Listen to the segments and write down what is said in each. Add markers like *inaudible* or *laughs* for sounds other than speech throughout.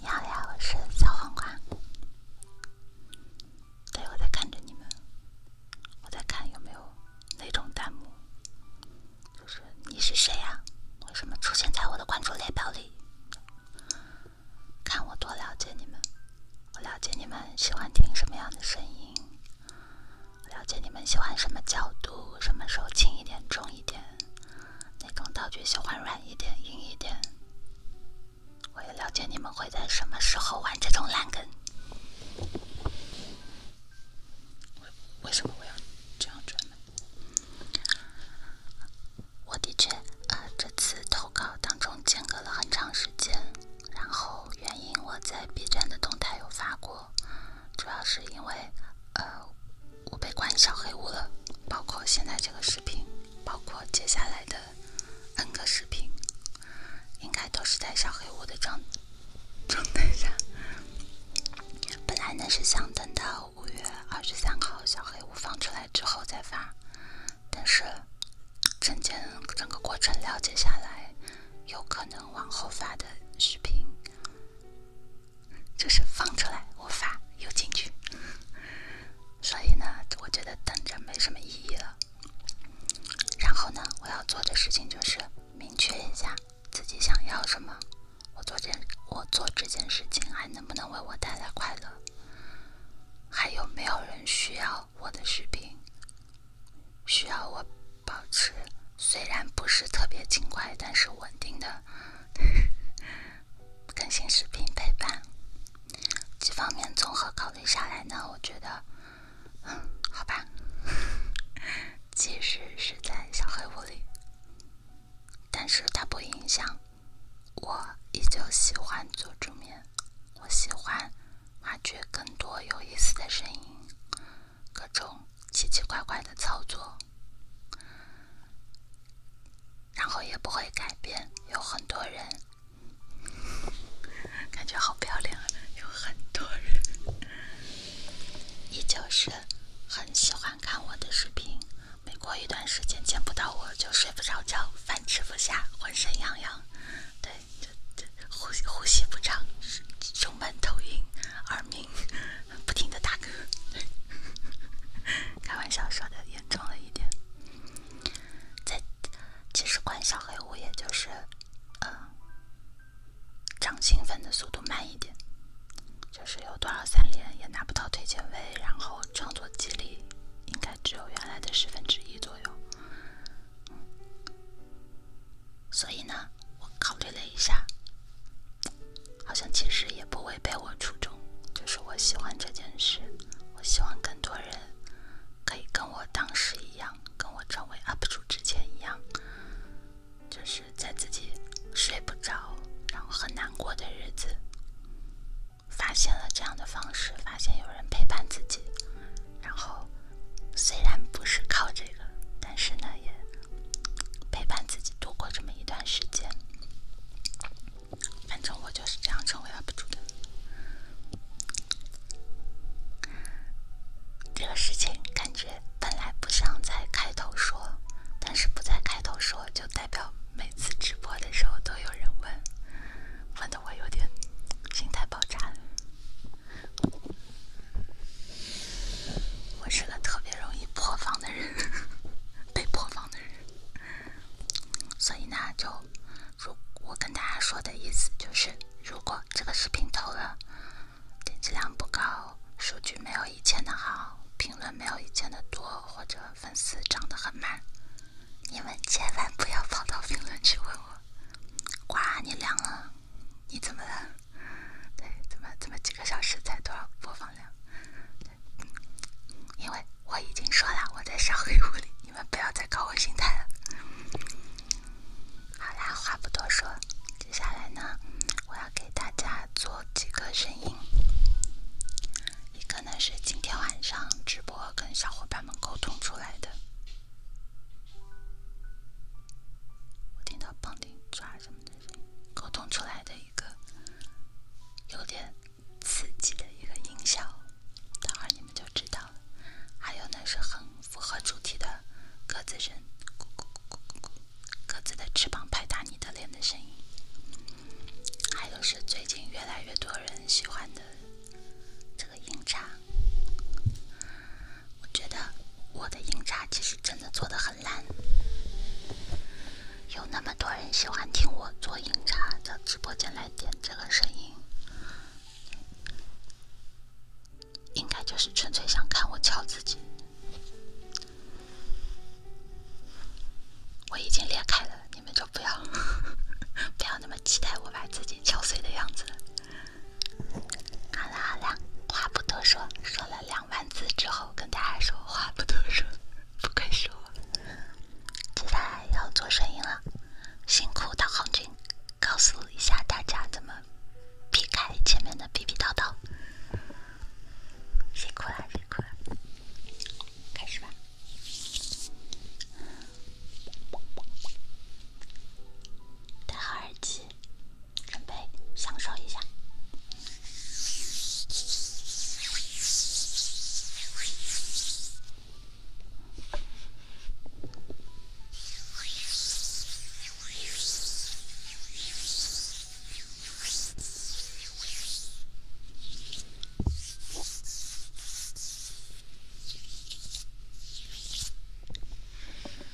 你好呀，我是小黄瓜。对，我在看着你们，我在看有没有那种弹幕，就是你是谁呀？为什么出现在我的关注列表里？看我多了解你们，我了解你们喜欢听什么样的声音。了解你们喜欢什么角度，什么时候轻一点、重一点，那种道具喜欢软一点、硬一点。我也了解你们会在什么时候玩这种烂梗。为什么我要这样转呢？我的确，呃，这次投稿当中间隔了很长时间，然后原因我在 B 站的动态有发过。主要是因为，呃，我被关小黑屋了，包括现在这个视频，包括接下来的 N 个视频，应该都是在小黑屋的状状态下。本来呢是想等到五月二十三号小黑屋放出来之后再发，但是整件整个过程了解下来。有可能往后发的视频，就是放出来我发又进去，所以呢，我觉得等着没什么意义了。然后呢，我要做的事情就是明确一下自己想要什么。我做件我做这件事情还能不能为我带来快乐？还有没有人需要我的视频？需要我保持虽然不是特别勤快，但是稳定的 *laughs* 更新视频陪伴。几方面综合考虑下来呢，我觉得好吧。*laughs* 即使是在小黑屋里，但是它不影响我依旧喜欢做助面，我喜欢挖掘更多有意思的声音。各种奇奇怪怪的操作，然后也不会改变。有很多人，感觉好漂亮啊！有很多人，依旧是很喜欢看我的视频。每过一段时间见不到我就睡不着觉，饭吃不下，浑身痒痒。对。呼吸呼吸不畅，胸闷头晕，耳鸣，不停的打嗝。开玩笑说的，严重了一点。在其实关小黑屋，也就是，嗯，涨兴奋的速度慢一点。就是有多少三连也拿不到推荐位，然后创作激励应该只有原来的十分之一左右。所以呢，我考虑了一下，好像其实也不违背我初衷，就是我喜欢这件事，我希望更多人可以跟我当时一样，跟我成为 UP 主之前一样，就是在自己睡不着，然后很难过的日子，发现了这样的方式，发现有人陪伴自己，然后。虽然不是靠这个，但是呢也陪伴自己度过这么一段时间。反正我就是这样成为 UP 主的。这个事情感觉本来不想在开头说，但是不在开头说就代表每次直播的时候都有人问，问的我有点心态爆炸。了。我是个特别容易破防的人，被破防的人。所以呢，就如我跟大家说的意思就是，如果这个视频投了，点击量不高，数据没有以前的好，评论没有以前的多，或者粉丝涨得很慢，你们千万不要跑到评论区问我：“哇，你凉了，你怎么了？”对，怎么怎么几个小时才多少播放量？因为我已经说了我在小黑屋里，你们不要再搞我心态了。好啦，话不多说，接下来呢，我要给大家做几个声音，一个呢是今天晚上直播跟小伙伴们沟通出来的。我听到“砰”“叮”“抓”什么的声音，沟通出来的一个有点刺激的一个音效，等会儿你们就知道了。还有呢，是很符合主题的鸽子声——咕咕咕咕咕，鸽子的翅膀拍打你的脸的声音。还有是最近越来越多人喜欢的。个音叉，我觉得我的音叉其实真的做的很烂。有那么多人喜欢听我做音叉，到直播间来点这个声音，应该就是纯粹想看我敲自己。我已经裂开了，你们就不要 *laughs* 不要那么期待我把自己敲碎的样子。好了好了，话不多说，说了两万字之后跟大家说，话不多说，不愧说我。接下来要做声音了，辛苦导航君，告诉一下大家怎么避开前面的逼逼叨叨。辛苦了，辛苦了，开始吧，戴好耳机。准备享受一下。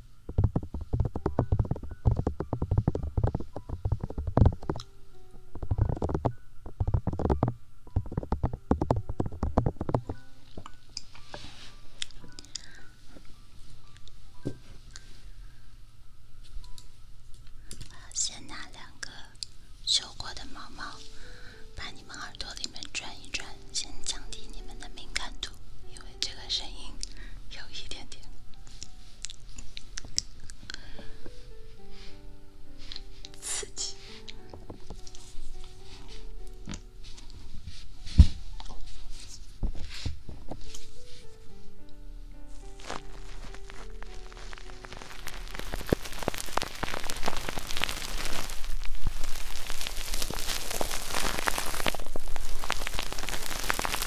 我先拿两个修过的毛毛，把你们耳朵里面转一转，先降低你们的敏感度，因为。这个声音有一点点刺激。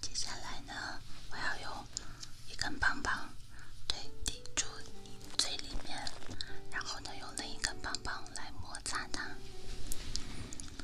接下来呢，我要用一根棒棒对抵住你嘴里面，然后呢，用另一根棒棒来摩擦它。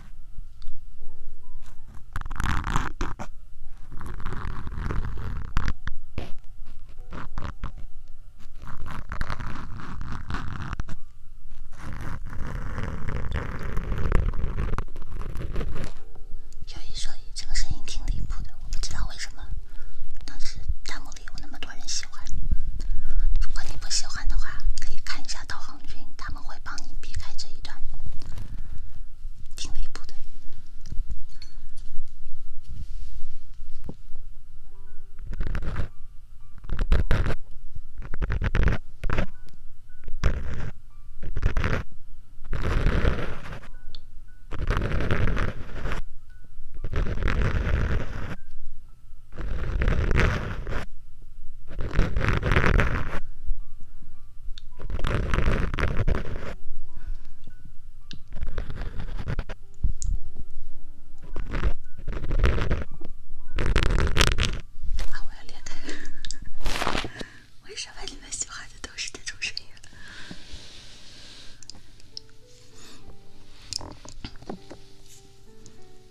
有一说一，这个声音挺离谱的，我不知道为什么，当时弹幕里有那么多人喜欢。如果你不喜欢的话，可以看一下。导航君他们会帮你避开这一段，挺离谱的。啊！我要裂开！*laughs* 为什么你们喜欢的都是这种声音？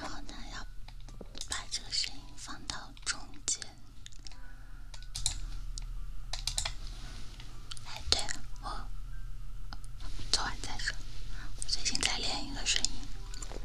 然后呢，要把这个声音放到中间。哎，对了，我做完再说。最近在练一个声音。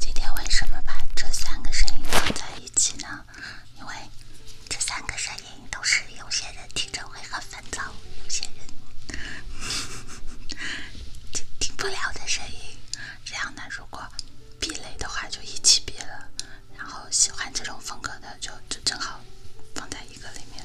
今天为什么把这三个声音放在一起呢？因为这三个声音都是有些人听着会很。烦躁，有些人 *laughs* 听不了的声音。这样呢，如果避雷的话，就一起避了；然后喜欢这种风格的，就就正好放在一个里面。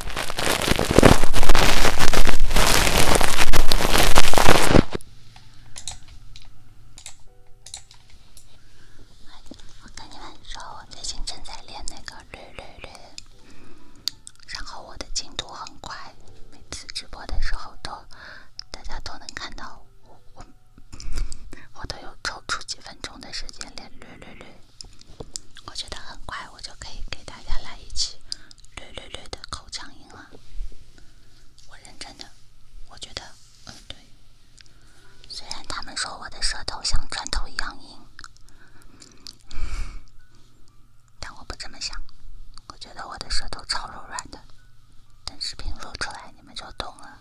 我跟你们说，我最近正在练那个绿绿绿，然后我的进度很快，每次直播的时候都大家都能看到我，我我都有抽出几分钟的时间练绿绿绿。我觉得很快我就可以给大家来一期略略略的口腔音了。我认真的，我觉得，呃，对。虽然他们说我的舌头像砖头一样硬，但我不这么想。我觉得我的舌头超柔软的，等视频说出来你们就懂了。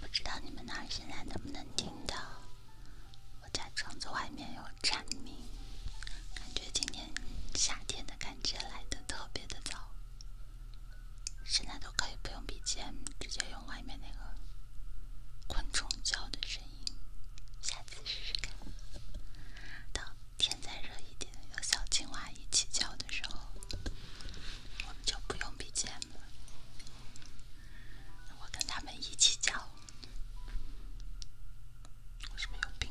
不知道你们那儿现在能不能听到？我家窗子外面有蝉鸣，感觉今年夏天的感觉来的特别的早。现在都可以不用 b g 直接用。外面那个昆虫叫的声音，下次试试看。等天再热一点，有小青蛙一起叫的时候，我们就不用比尖了。我跟他们一起叫，我是不是有病？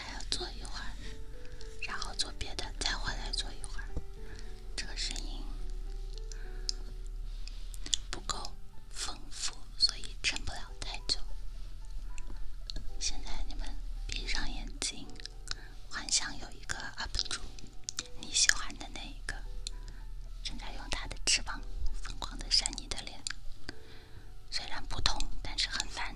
还要坐一会儿，然后做别的，再回来坐一会儿。这个声音不够丰富，所以撑不了太久。现在你们闭上眼睛，幻想有一个 UP 主，你喜欢的那一个，正在用他的翅膀疯狂的扇你的脸。虽然不痛，但是很烦。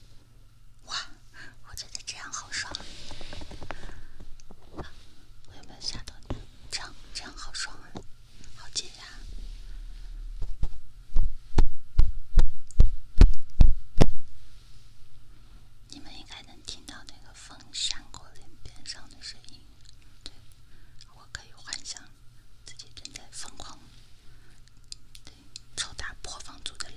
哇，我觉得这样好爽！啊。我有没有吓到你？这样，这样好爽啊，好解压！你们应该能听到那个风扇过脸边上的声音，对，我可以幻想。自己正在疯狂对抽打破房租的嘞。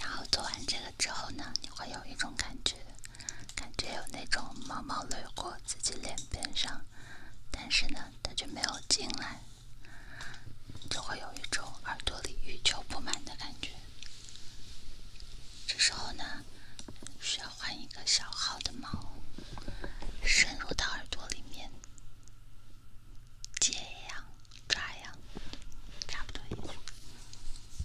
然后做完这个之后呢，你会有一种感觉，感觉有那种毛毛掠过自己脸边上，但是呢。它就没有进来，就会有一种耳朵里欲求不满的感觉。这时候呢，需要换一个小号的毛，深入到耳朵里面，剪羊抓羊，差不多意思。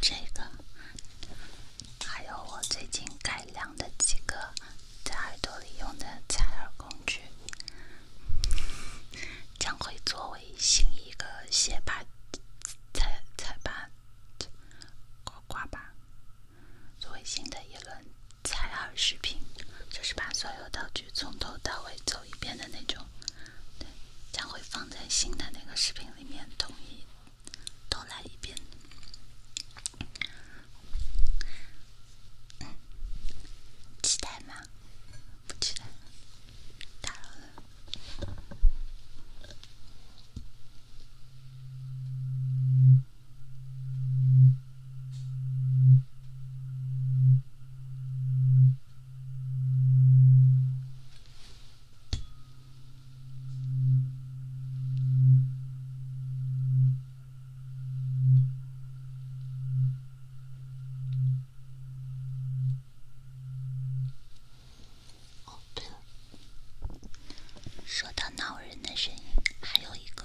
这个，还有我最近改良的几个在耳朵里用的采耳工具，将会作为新一个卸扒、菜采扒、刮刮扒。作为新的一轮采耳视频，就是把所有道具从头到尾走一遍的那种，将会放在新的那个视频里面统一都来一遍。期待吗？不期待？打扰了。*laughs* 哦，对，说到闹人的声音，还有一个。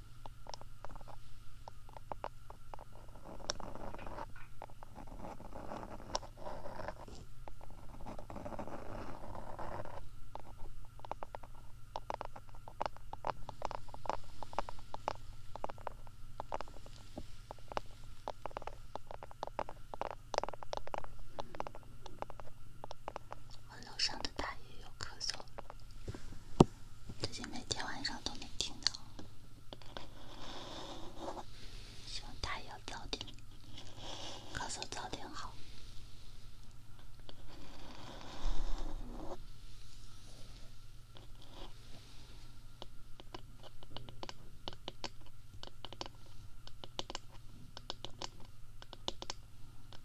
我楼上的大爷又咳嗽了。最近每天晚上都能听到，希望他也要早点，咳嗽早点好。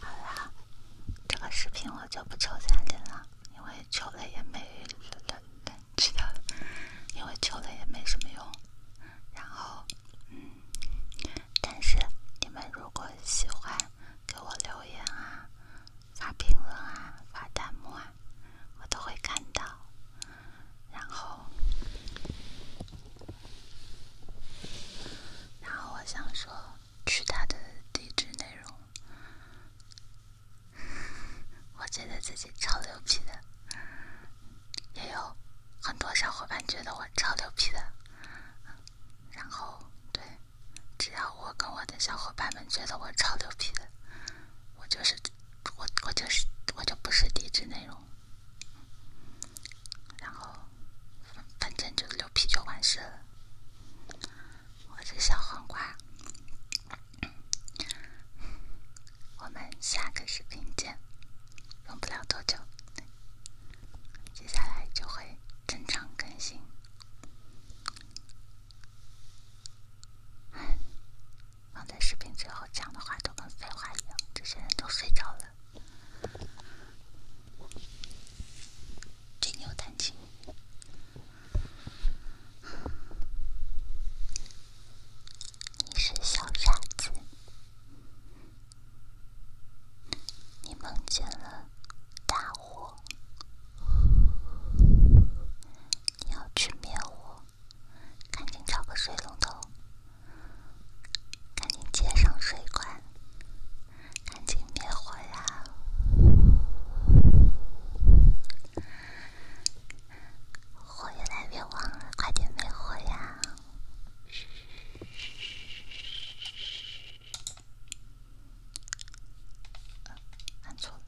好啦，这个视频我就不抽彩礼了，因为抽了也没了，知道因为抽了也没什么用。然后，嗯，但是你们如果喜欢，给我留言啊，发评论啊，发弹幕啊。我都会看到，然后，然后我想说，去他的地址内容。我觉得自己超牛皮的，也有很多小伙伴觉得我超牛皮的。然后，对，只要我跟我的小伙伴们觉得我超牛皮的，我就是。我我就是我就不是抵制内容，然后反正就溜皮就完事了。我是小黄瓜，我们下个视频见，用不了多久，接下来就会正常更新。放在视频最后讲的话都跟废话一样。这些人都睡着了。这有弹琴。你是小傻子。你梦见了大火。你要去灭火。赶紧找个水龙头，赶紧接上水管，赶紧灭火呀！火越来越旺了，快点灭火呀！按错了。